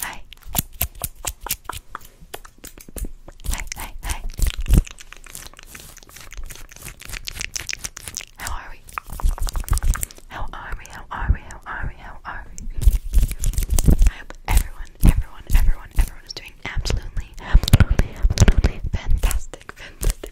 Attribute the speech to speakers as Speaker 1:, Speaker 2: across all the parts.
Speaker 1: Hi. Hi, hi, How are we? How are we? How are we? How are we? How are we? I hope everyone, everyone, everyone, everyone is doing absolutely, absolutely, absolutely fantastic, fantastic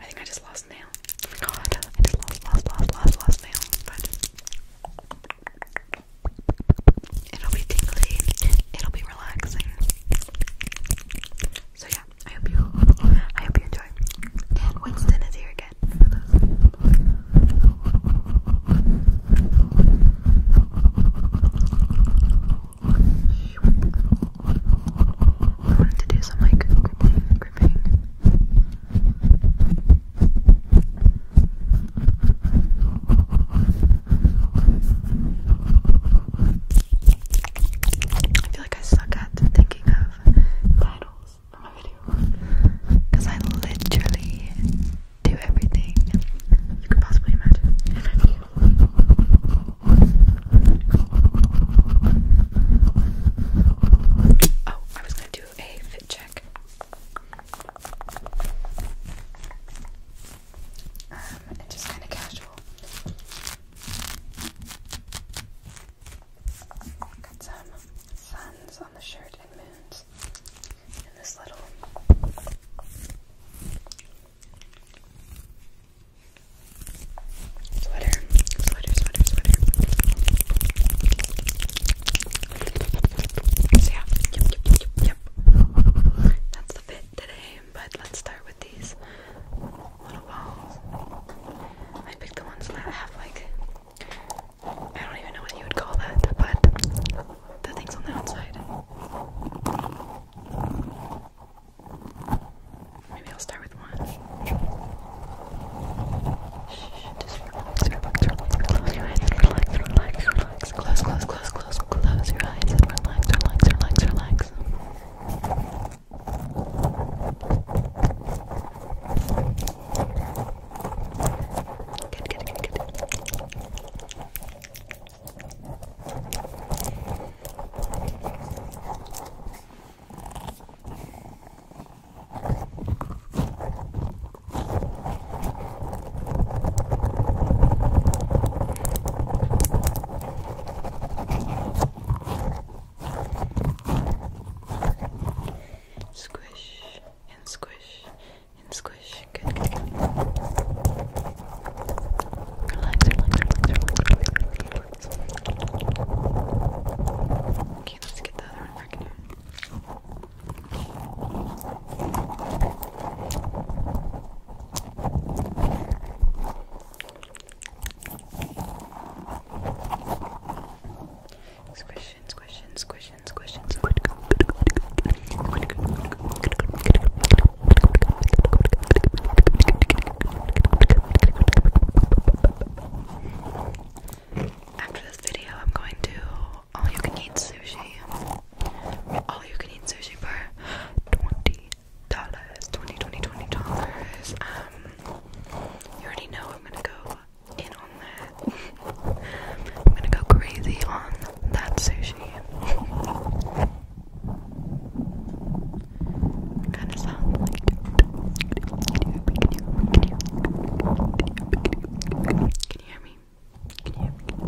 Speaker 1: I think I just lost nail. Oh my god, I just lost, lost, lost, lost, lost nail. But it'll be tingly, it'll be relaxing. So yeah, I hope you, I hope you enjoy. Winston is here again. I wanted to do some like gripping, I feel like I suck at thinking of titles for my video because I literally do everything you could possibly imagine my video. Oh, I was going to do a fit check. Um, just kind of casual. Got some suns on the shirt and moons in this little Sweater, sweater, sweater, sweater. So yeah, yep, yep, yep, yep. That's the fit today, but let's start with these little balls. I picked the ones that have like, I don't even know what you would call that, but the things on the outside. Maybe I'll start with one. Shh, just relax, relax, relax, close your eyes and relax, relax, relax. Close, close, close, close, close your eyes and relax, relax, relax, relax. Good, good, good, good. Squish and squish and squish. Good, good, good. Relax, relax, relax, relax, relax ones. Okay, let's get the other one back in here. Squishing, squishing, squishing, squishing, squishing. After this video, I'm going to all you can eat sushi. All you can eat sushi for twenty dollars, twenty, twenty, twenty dollars. Um, you already know I'm gonna go in on that. I'm gonna go crazy on that sushi. kind of sounds like. Can you hear me? Can you hear me?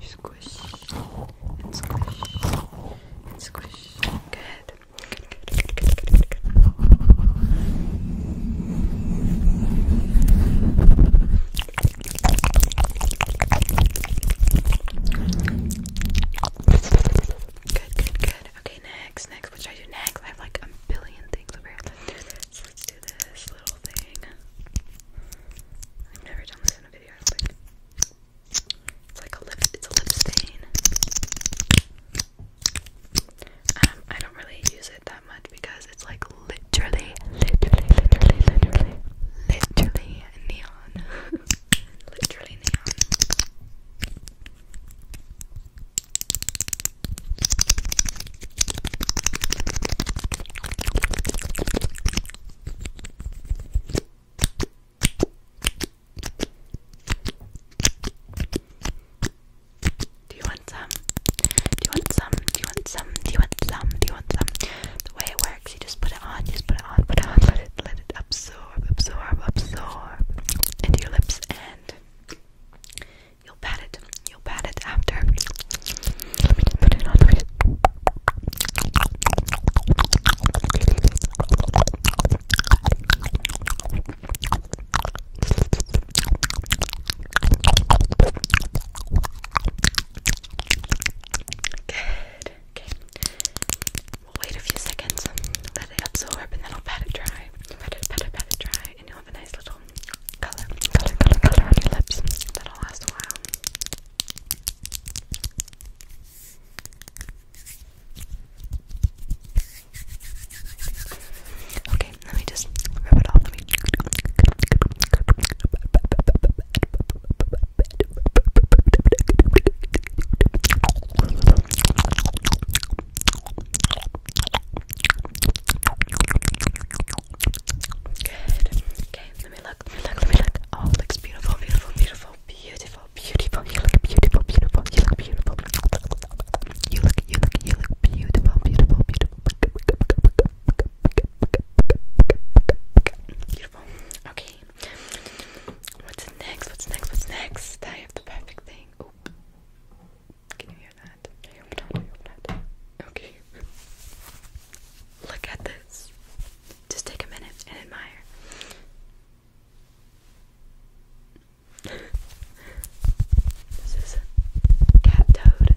Speaker 1: Squish and squish and Good. Good, good. Okay, next, next. What should I do next? I have like a billion things over here. So let's do this little thing. I've never done this in a video, I don't think. It's like a lip, it's a lip stain. Um, I don't really use it that much because it's like literally, literally, literally, literally, literally neon. literally neon. Do you want some? Do you want some? Do you want some? Do you want some? Do you want some? The way it works, you just put it on, you just put it on, put it on, let it let it absorb, absorb, absorb into your lips and you'll pat it. You'll pat it after. Let me just put it on. Let me just... Okay. We'll wait a few seconds, let it absorb, and then I'll pat it dry. Pat it, pat it, pat it dry, and you'll have a nice little color, color, color, color on your lips. That'll last a while. Okay, let me just rub it off. Let me. Good. Okay, let me look. Let me look. Let me look. Oh, looks beautiful, beautiful, beautiful, beautiful beautiful, beautiful. You look beautiful, beautiful. You look beautiful. You look, you look, you look beautiful, beautiful, beautiful. Beautiful. Okay. What's next? What's next? What's next? I have the perfect thing. Oh. Can you hear that? I hope not. I hope not. Okay. Look at this. Just take a minute and admire this is cat toad.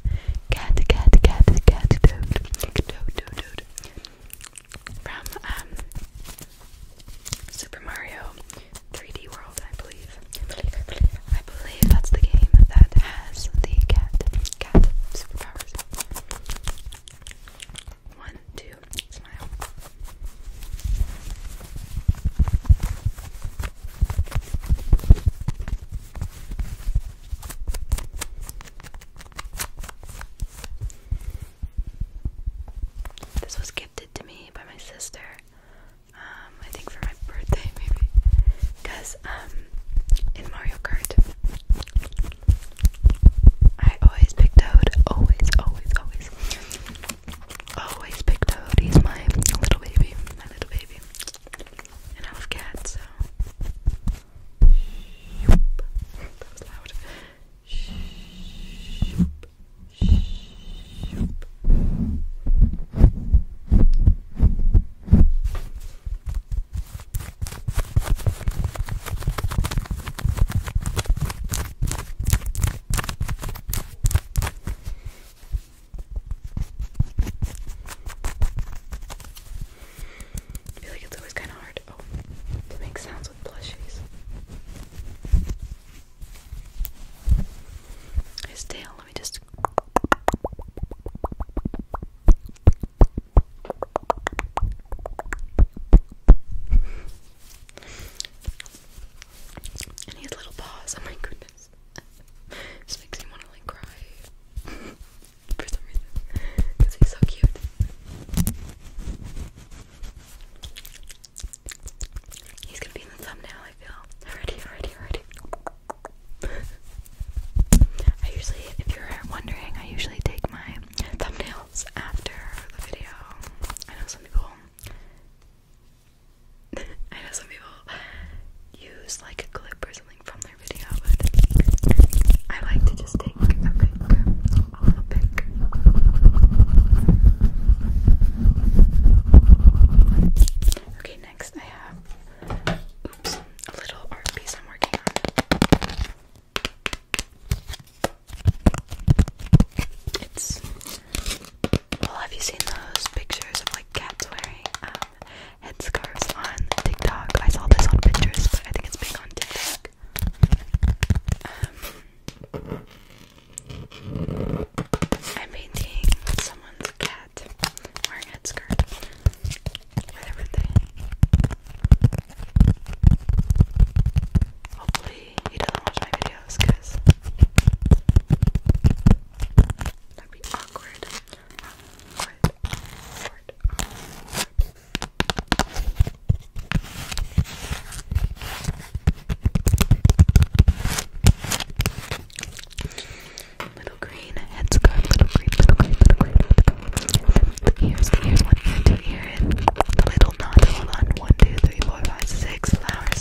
Speaker 1: Cat, cat, cat, cat toad. Toad, toad, toad. From um, Super Mario 3D World, I believe. I believe, I believe. that's the game that has the cat, cat superpowers. One, two, this was gifted to me by my sister. Um, I think for my birthday, maybe. Because, um, in Mario Kart, I always pick Toad. Always, always, always always pick Toad. He's my little baby, my little baby. And I love cats, so. I feel like it's always kind of hard oh, to make sounds with plushies. His let me just. And his little paws, oh my goodness. Just makes me want to like cry for some reason. Because he's so cute. He's gonna be in the thumbnail, I feel. Already, already, already. I usually, if you're wondering, I usually take my thumbnails after the video. I know some people I know some people use like a clip or something from their video, but I like to just take a pic, pic. Okay, next I have, oops, a little art piece I'm working on have you seen those pictures of like cats wearing um, headscarves on TikTok? I saw this on Pinterest, but I think it's big on TikTok. I'm um, painting someone's cat wearing a headscarf. Hopefully, he doesn't watch my video videos because that'd be awkward. Awkward. Awkward. awkward. Little green Little green. Little green. Little green. Here's the ears. One Two ear. And the little flowers.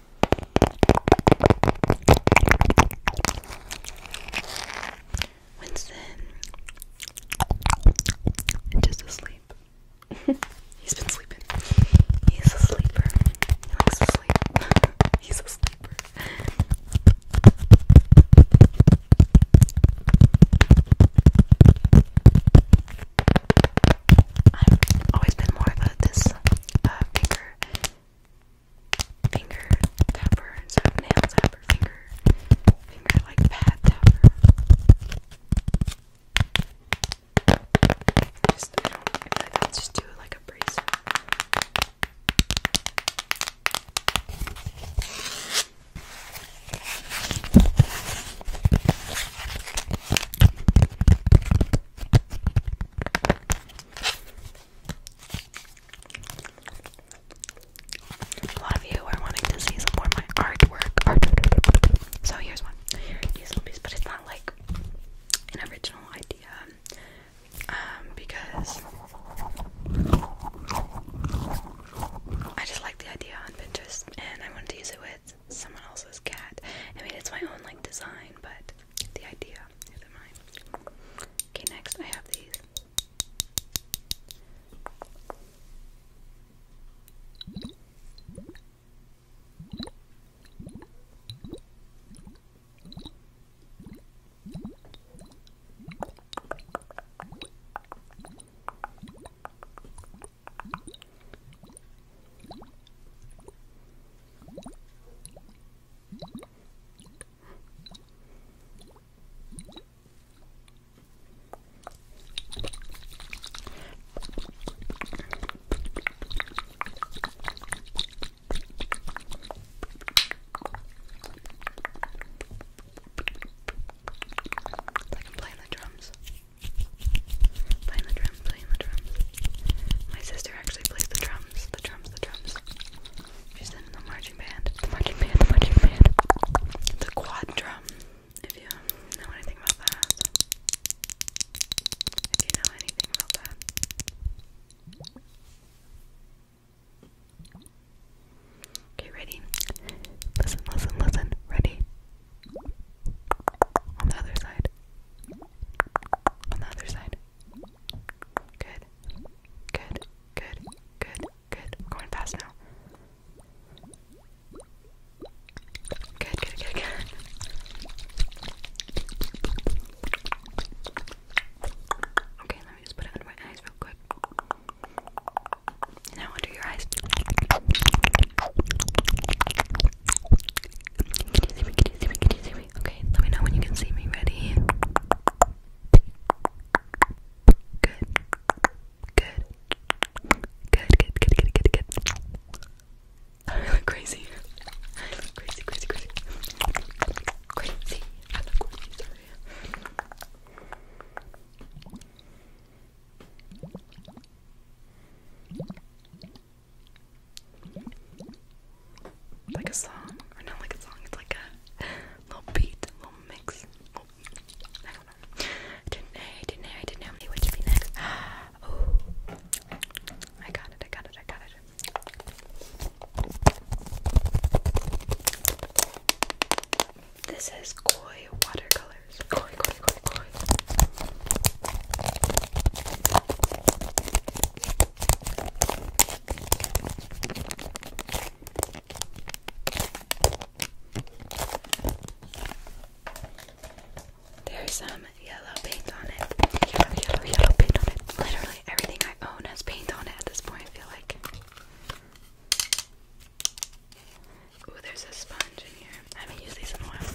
Speaker 1: Winston just asleep. He's been sleeping. He's a sleeper. He likes to He's a sleeper. I've always been more of this uh, finger tapper instead of nail tapper, finger, finger like pad tapper. Just, I don't, I feel like I'll just do like a bracelet. A lot of you are wanting to see some more of my artwork. So here's one. Here's a piece, but it's not like an original idea. Um, because I just like the idea on Pinterest and I wanted to use it with someone else's cat. I mean, it's my own like design, but the idea is mind. Okay, next I have these. I can the drums. Playing the drums, playing the drums. My sister actually plays the drums the drums. She's in the marching band. The marching band, the marching band. The quad drum. If you know anything about that. If you know anything about that. Okay, ready? Listen, listen, listen. Ready? On the other side. On the other side. Good. Good. Good. Good. Good. going fast now. Good, good, good, good. Okay, let me just put it under my eyes real quick. Now under your eyes. Okay, let me know when you can see me. Ready? Good. Good. Good, good, good, good, good, I look crazy. crazy, crazy, crazy. Crazy. crazy, like a song, or not like a song, it's like a little beat, a little mix. I don't know. didn't know, didn't know, didn't know what would be next. Oh, I got it, I got it, I got it. This is koi watercolors. Koi, koi, koi, koi. There's some yellow paint on it. Yellow, yellow, yellow paint on it. Literally everything I own has paint on it at this point, I feel like. Ooh, there's a sponge in here. I haven't used these in a while.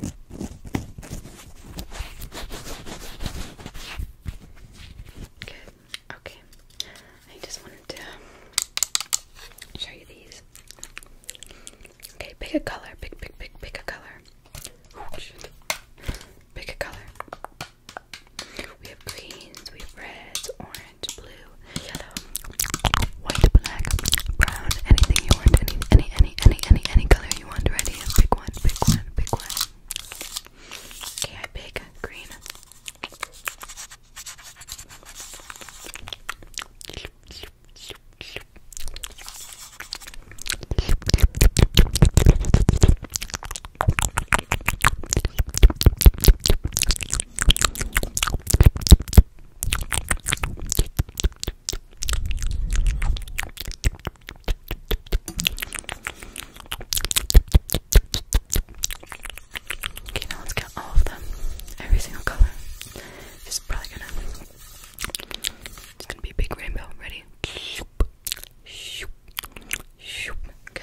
Speaker 1: Good. Okay. I just wanted to show you these. Okay, pick a color. Pick, pick, pick, pick a color. Oh, pick a color. We have greens, we have reds, orange, blue, yellow, white, black, brown, anything you want, any, any, any, any, any, any color you want ready? Pick one, pick one, pick one. Okay, I pick green. Okay, now let's get all of them, every single color. This is probably gonna, it's gonna be a big rainbow. Ready? Shoop, shoop, shoop. Good.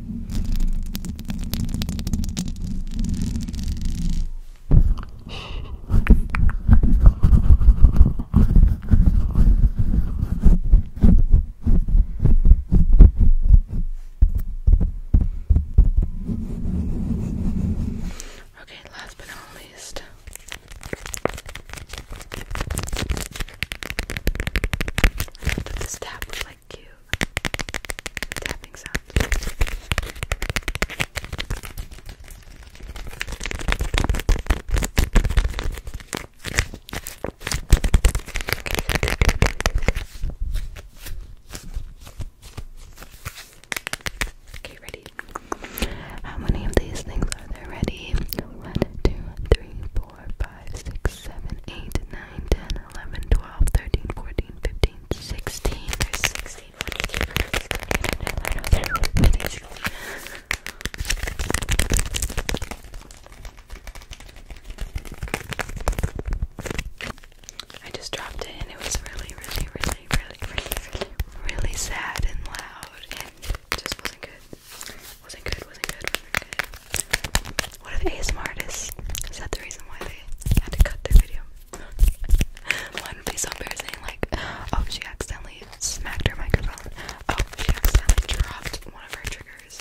Speaker 1: Okay, last but not least. I thought that this tap was like cute tapping sound. Okay, ready. How many of these things are there ready? One, two, three, 4, I just dropped it and it was really, really, really, really, really, really, really sad and loud and just wasn't good. Wasn't good, wasn't good, wasn't good. What if ASMR artists? Is that the reason why they had to cut their video? One of these so embarrassing, like, oh, she accidentally smacked her microphone. Oh, she accidentally dropped one of her triggers.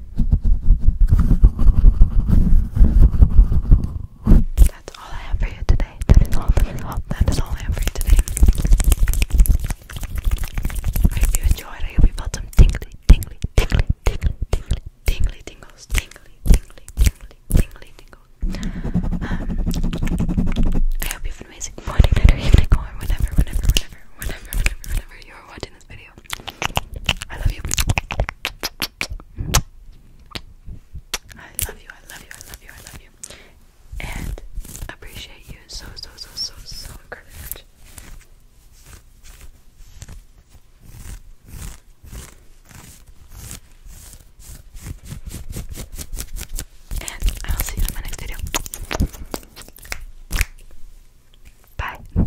Speaker 1: That's all I have for you today. That is all. That is all. I have for you today. I hope you enjoyed. I hope you felt some tingly, tingly, tingly, tingly, tingly, tingly tingles, tingly, tingly, tingly, tingly tingles. Um, I hope you have an amazing morning, night, or evening, or whenever, whenever, whenever, whenever, whenever, whenever you are watching. I love you. I love you, I love you, I love you, And appreciate you so, so, so, so, so much. And I'll see you in my next video. Bye.